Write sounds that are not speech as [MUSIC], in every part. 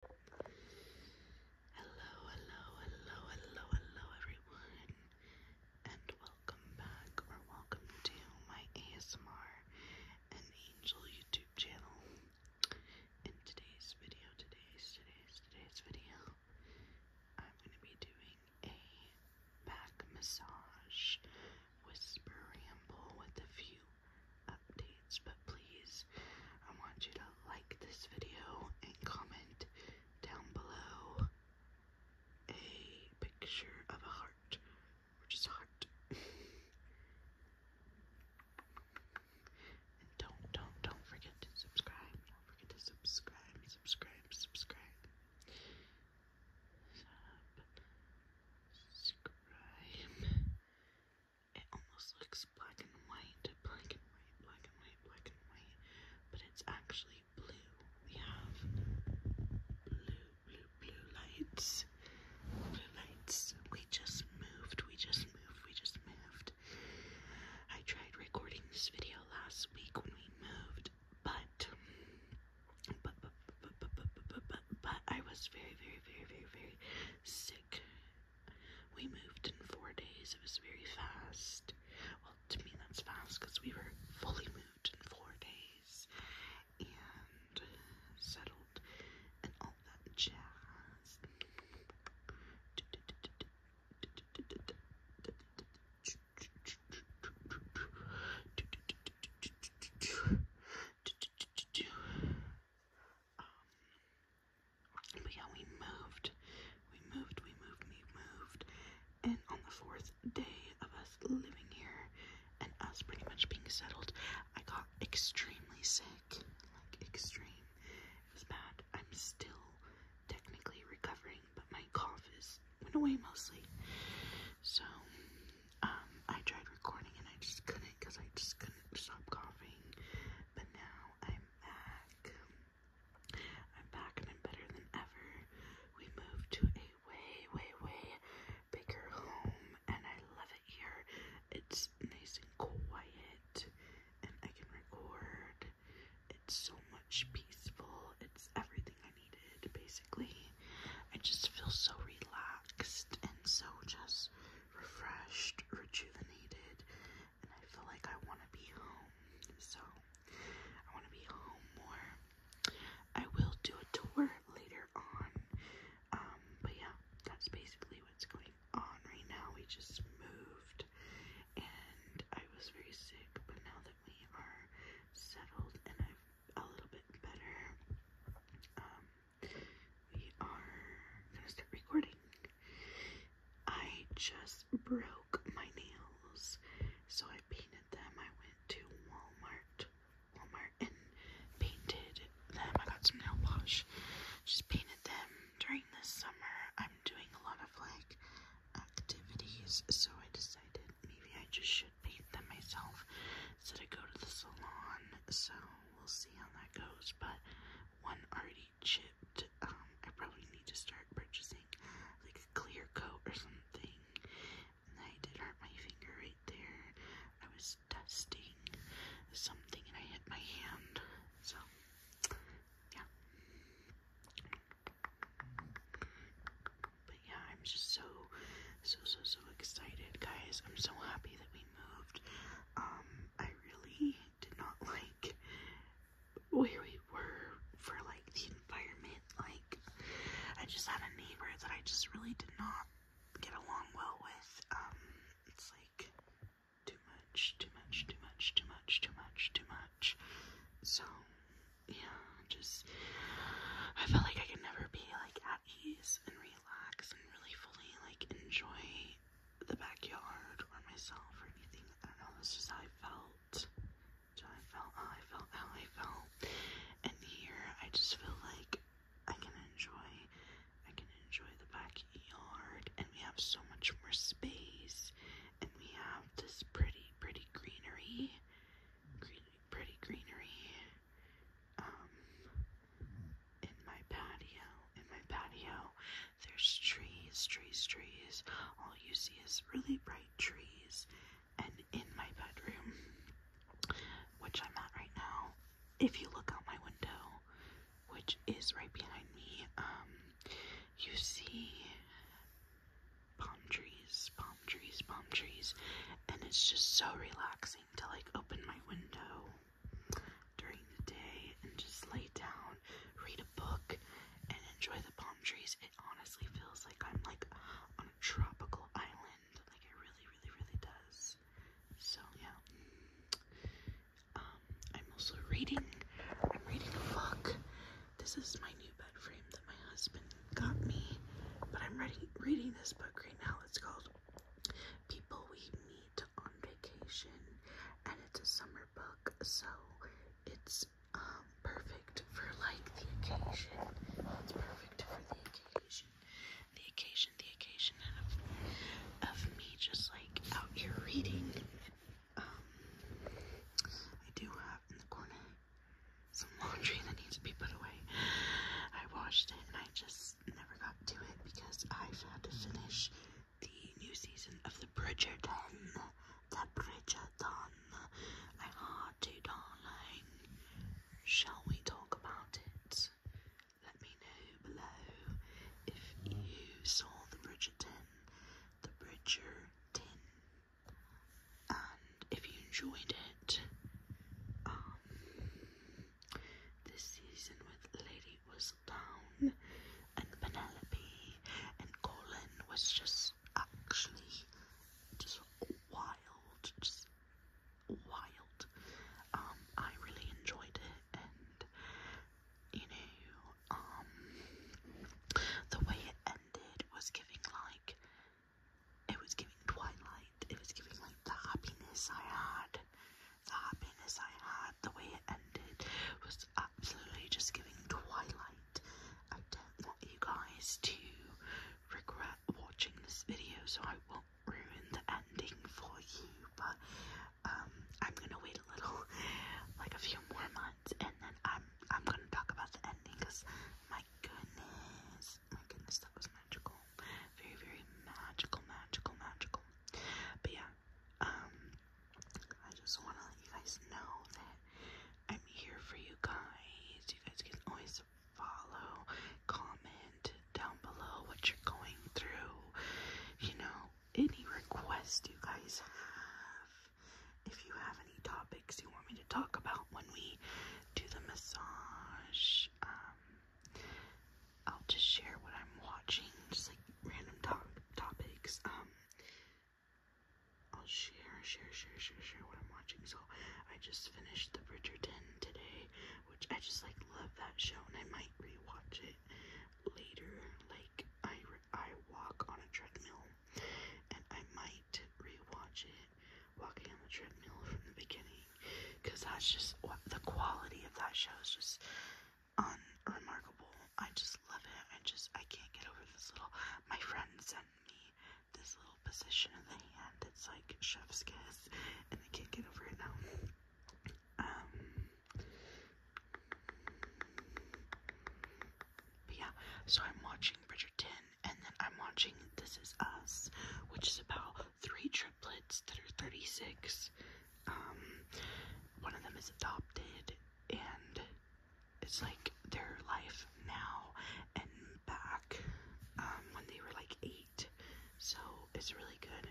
Hello, hello, hello, hello, hello, everyone, and welcome back or welcome to my ASMR and Angel YouTube channel. In today's video, today's, today's, today's video, I'm going to be doing a back massage whisper ramble with a few updates, but please, I want you to like this video and comment down below a picture of a heart, or just heart. [LAUGHS] and don't, don't, don't forget to subscribe. Don't forget to subscribe, subscribe, subscribe. Subscribe it almost looks black and white, black and white, black and white, black and white, but it's actually blue. We have blue, blue, blue lights, blue lights. We just moved, we just moved, we just moved. I tried recording this video last week when we moved, but, but, but, but, but, but, but, but, but, but I was very, very, very, very, very sick we moved in four days. It was very fast. Well, to me, that's fast because we were fully moved in four days and settled and all that jazz but yeah, we moved. We moved, we moved, we moved. And on the fourth day of us living here and us pretty much being settled, I got extremely sick. Like, extreme. It was bad. I'm still technically recovering, but my cough is went away mostly. So, um, I tried recording and I just couldn't because I just couldn't stop coughing. But now I'm back. I'm back and I'm better than ever. We moved to a way, way, way bigger home and I love it here. It's nice and quiet and I can record. It's so much peaceful. It's everything I needed basically. I just feel so relaxed and so just refreshed, rejuvenated, and I feel like I want to be home. So I want to be home more. I will do a tour later on. Um, but yeah, that's basically what's going on right now. We just moved and I was very sick, but now that we are settled and I'm a little bit better, um, we are gonna start recording. I just broke my nails, so I painted them. I went to Walmart, Walmart, and painted them. I got some nail polish, just painted them during this summer. I'm doing a lot of like activities, so I decided maybe I just should feet than myself, so to go to the salon. So we'll see how that goes. But one already chipped. Um, I probably need to start purchasing like a clear coat or something. And I did hurt my finger right there. I was testing something and I hit my hand. So yeah but yeah, I'm just so, so, so, so excited, guys. I'm so happy that we moved. Um, I really did not [LAUGHS] like where we were for like the environment. Like, I just had a neighbor that I just really did not get along well with. Um, it's like too much, too much, too much, too much, too much, too much. So, yeah, just I felt like I could never be like and relax and really fully like enjoy the backyard or myself or anything. I don't know, it's just how I felt. So I felt how I felt how I felt. And here I just feel like I can enjoy I can enjoy the backyard and we have so much more space and we have this pretty pretty greenery. Green, pretty greenery um, in my patio. In my patio, there's trees, trees, trees. All you see is really bright trees. And in my bedroom, which I'm at right now, if you look out my window, which is right behind me, um, you see palm trees, palm trees, palm trees, and it's just so relaxing to like open my window during the day and just lay down, read a book, and enjoy the palm trees. It honestly feels like I'm like on a tropical island, like it really, really, really does. So, yeah. Um, I'm also reading. I'm reading a book. This is my new bed frame my husband got me, but I'm reading reading this book right now. It's called People We Meet on Vacation, and it's a summer book, so it's um, perfect for like the occasion. It's perfect for the occasion, the occasion, the occasion of me just like out here reading. Um, I do have in the corner some laundry that needs to be put away. I washed it and I just never got to it because I've had to finish the new season of the Bridgerton. The Bridgerton. I had to, darling. Shall we talk about it? Let me know below if you saw the Bridgerton. The Bridgerton and if you enjoyed it, um, this season with Lady was down, and Penelope and Colin was just actually just wild, just wild. Um, I really enjoyed it, and you know, um, the way it ended was giving like it was giving Twilight. It was giving like the happiness I had. The happiness I had, the way it ended, was absolutely just giving Twilight. I don't want you guys to regret watching this video, so I won't ruin the ending for you. But um, I'm gonna wait a little, [LAUGHS] like a few more months, and then I'm I'm gonna talk about the ending because my my goodness. My goodness, that was magical. Very, very magical, magical, magical. But yeah, um, I just want to let you guys know that I'm here for you guys. You guys can always follow, comment down below what you're going through. You know, any request you guys have, if you have any topics you want me to talk about when we do the massage. Um, I'll just share what I'm watching, just like random top topics. Um, I'll share, share, share, share, share what I'm watching. So I just finished The Bridgerton today, which I just like love that show, and I might rewatch it later. Like I, I walk on a treadmill, and I might rewatch it walking on the treadmill from the beginning because that's just what the quality of that show is just unremarkable. I just love it. I just I can't get over this little. My friend sent me this little position of the hand. It's like chef's kiss, and I can't get over it now. Um, yeah, so I'm watching Bridgerton and then I'm watching This Is Us, which is about three triplets that are 36. Um, one of them is adopted and it's like their life now and back um, when they were like eight. So it's really good.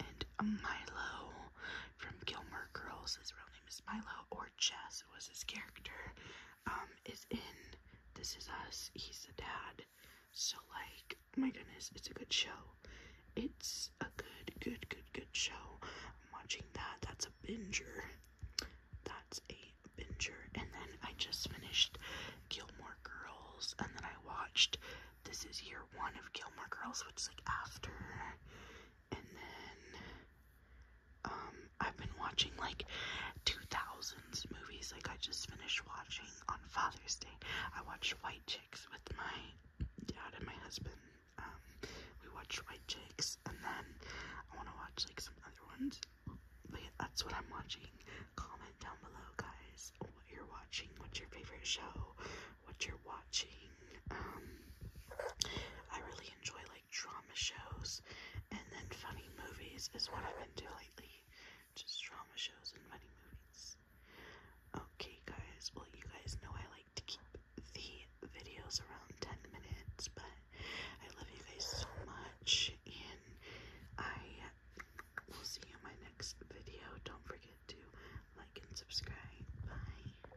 And Milo from Gilmore Girls is really apparently Miss Milo or Chess was his character, um, is in This Is Us. He's a dad. So like, my goodness, it's a good show. It's a good, good, good, good show. I'm watching that. That's a binger. That's a binger. And then I just finished Gilmore Girls, and then I watched this is year one of Gilmore Girls, which is like after and then um I've been watching like 2000s movies. Like I just finished watching on Father's Day. I watched White Chicks with my dad and my husband. Um, we watched White Chicks, and then I want to watch like some other ones. But that's what I'm watching. Comment down below, guys, what you're watching. What's your favorite show? What you're watching? Um, I really enjoy like like drama shows and then funny movies is what I've been doing lately. Just drama shows and funny movies. Okay, guys. Well, you guys know I like to keep the videos around 10 minutes, but I love you guys so much, and I will see you in my next video. Don't forget to like and subscribe. Bye.